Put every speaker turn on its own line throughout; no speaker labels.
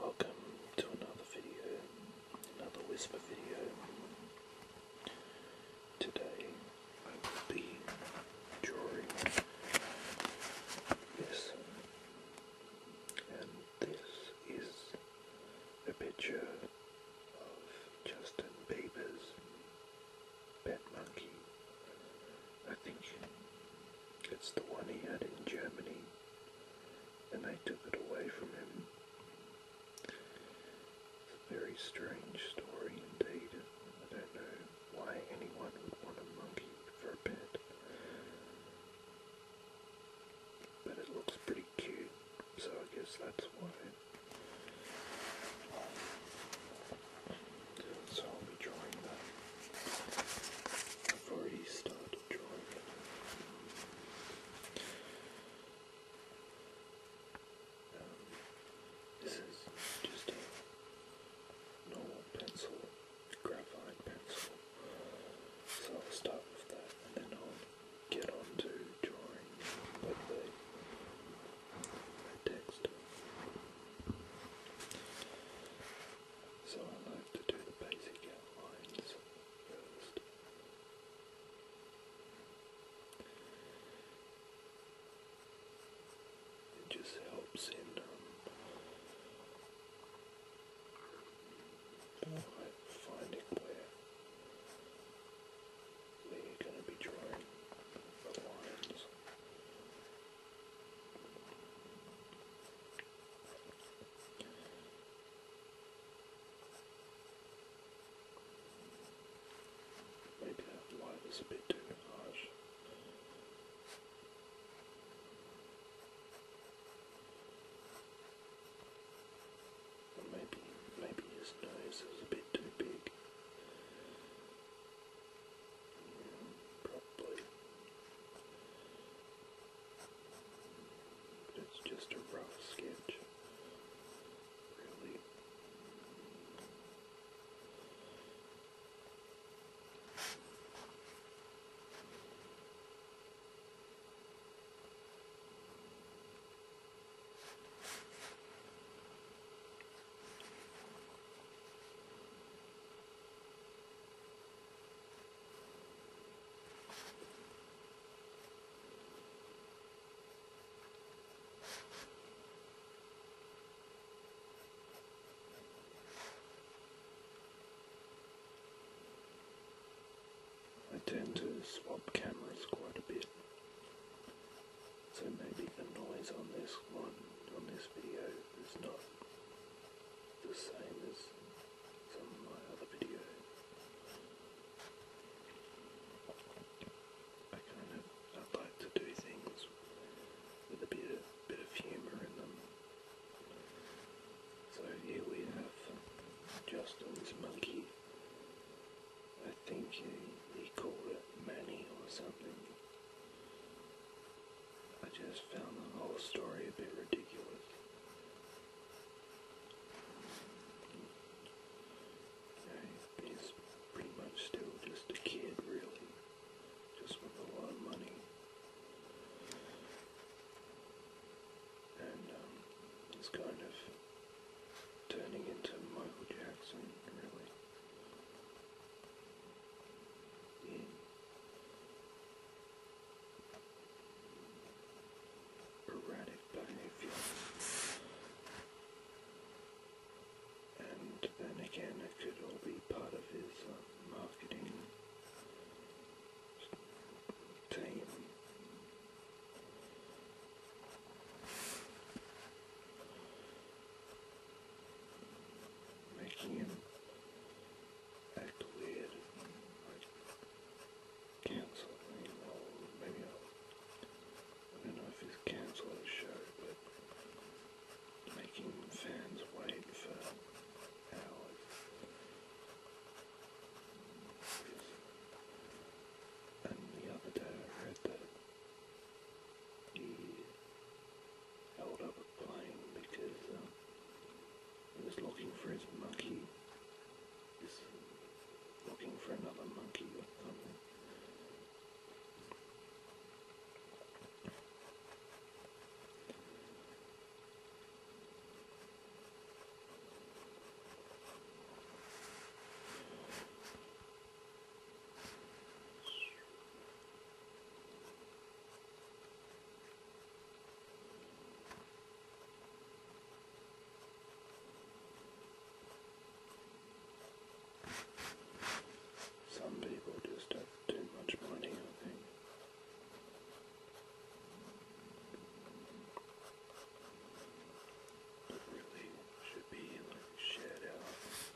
Welcome to another video, another whisper video. Today I will be drawing this, and this is a picture of Justin Bieber's pet monkey. I think it's the one he had in Germany and I took it away from him. It's a very strange story indeed. I don't know why anyone would want a monkey for a pet. But it looks pretty cute, so I guess that's why. So I'll be drawing that. I've already enjoyed. Um, this is just a normal pencil, graphite pencil. So I'll start with that and then I'll get on to drawing with the text. So I like to do the basic outlines first. It just helps in um, finding where we're going to be drawing the lines. Maybe that light is a bit too harsh. Maybe, maybe his nose is a bit too big. Probably. But it's just a rough sketch, really. I tend to swap cameras quite a bit, so maybe the noise on this one, on this video, is not the same as some of my other videos. I kind of like to do things with a bit of, bit of humour in them. So here we have Justin's monkey. I think he, call it Manny or something. I just found the whole story a bit ridiculous. Yeah, he's pretty much still just a kid, really, just with a lot of money. And um, he's kind of turning into Michael Jackson, really erratic behavior. And then again, it could all be part of his uh, marketing team making him act weird, like maybe I'll, I will do not know if he's canceled the show, but making fans wait for hours. And the other day I read that held up applying because uh, he was looking for his monkey. He's looking for another monkey or some people just don't do much money, I think. It really should be like shared out.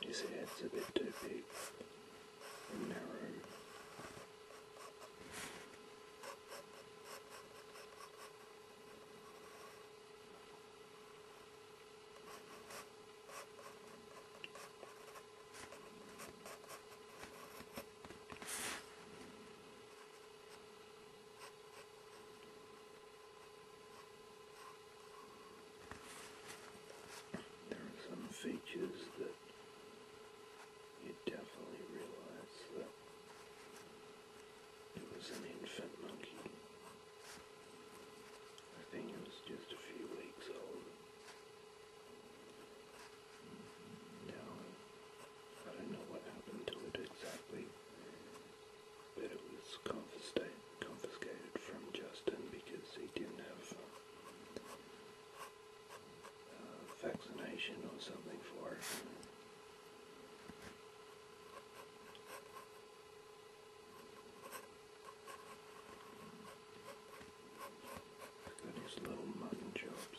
His, his head's a bit too big and narrow. There are some features that you definitely realize that it was an infant monkey. I think it was just a few weeks old. Now, I don't know what happened to it exactly, but it was confiscated, confiscated from Justin because he didn't have uh, vaccination or something for it. Look at his little mutton chops.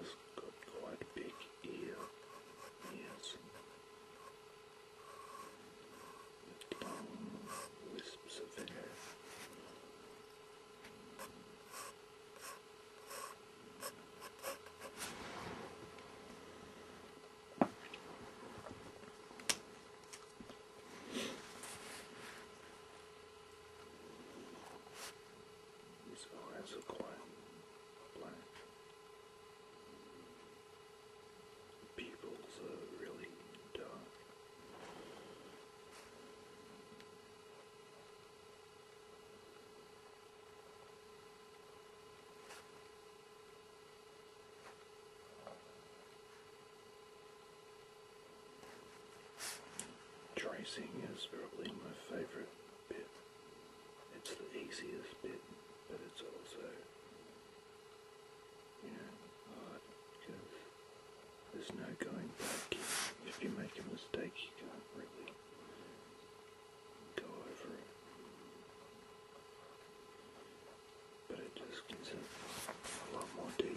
It's got quite big ear ears wisps of hair. His eyes are quite black. People's are really dumb. Tracing is probably my favorite bit. It's the easiest bit, but it's also you because there's no going back. If you make a mistake, you can't really go over it. But it just gives it a lot more detail.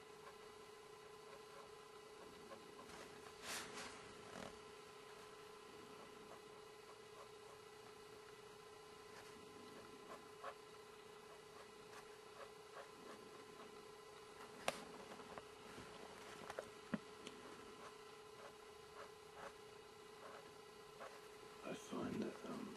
I find that um,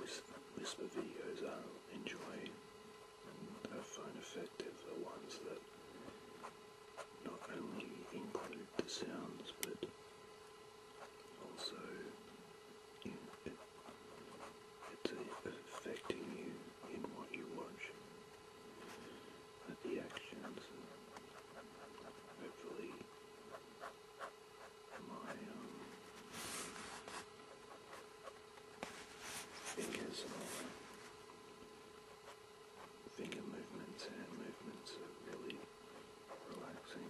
whisper, videos i enjoy and I find effective are ones that not only include the sounds but also you affecting you in what you watch the actions and hopefully my fingers Finger movements, and movements are really relaxing.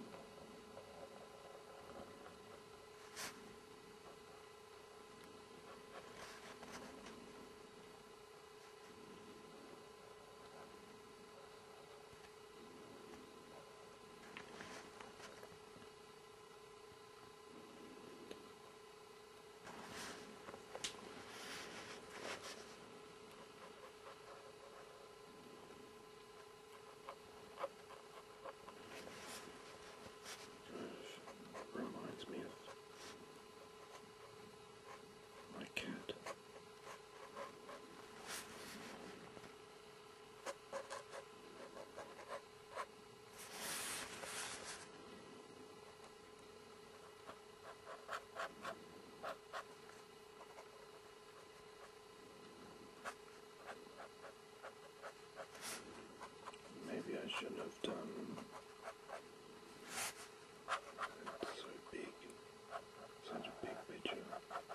Reminds me of my cat. Maybe I shouldn't have done so big, such a big picture.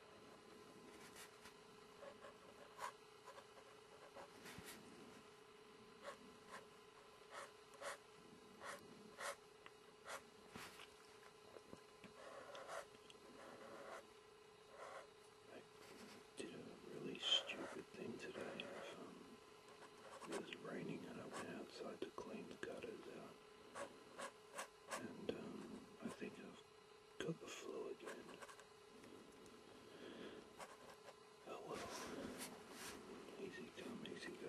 I did a really stupid thing today. It was raining and I went outside to clean the gutters out. And um, I think i got the flow again. Oh well. Easy come, easy go,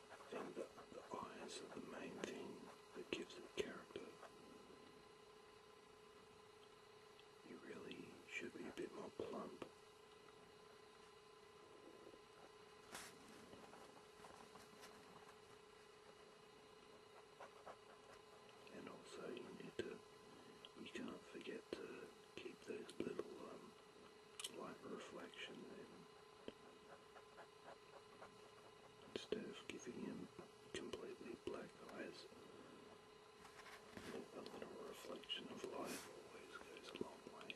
And the, the eyes are the main thing that gives it character. You really should be a bit more plump. And also you need to, you can't forget to keep those little um, light reflections instead of giving him completely black eyes. A little reflection of light always goes a long way.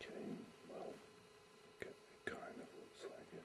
Okay, well, kind of looks like it.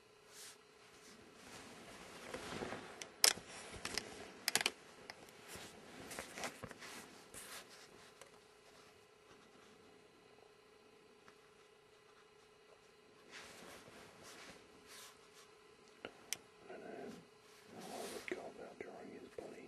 I don't know how I would go about drawing his body.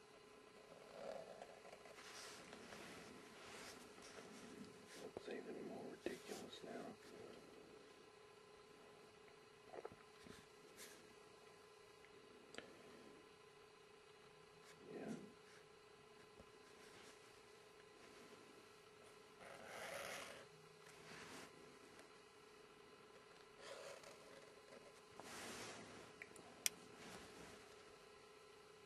It's even more ridiculous now. Yeah.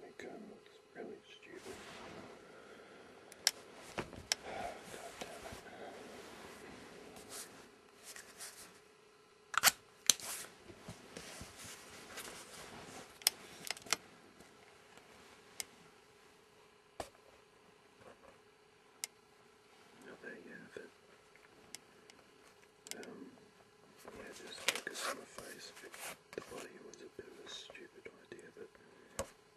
Nikon looks really stupid. God damn it. Now there you Um, yeah, just focus on the face. The body was a bit of a stupid idea, but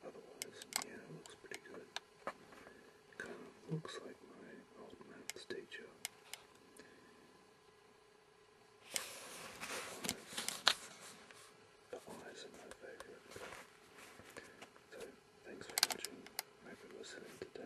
otherwise, yeah, it looks pretty good. Kind of looks like my old maths teacher. The eyes are my favourite. So, thanks for watching. Hope it was fun today.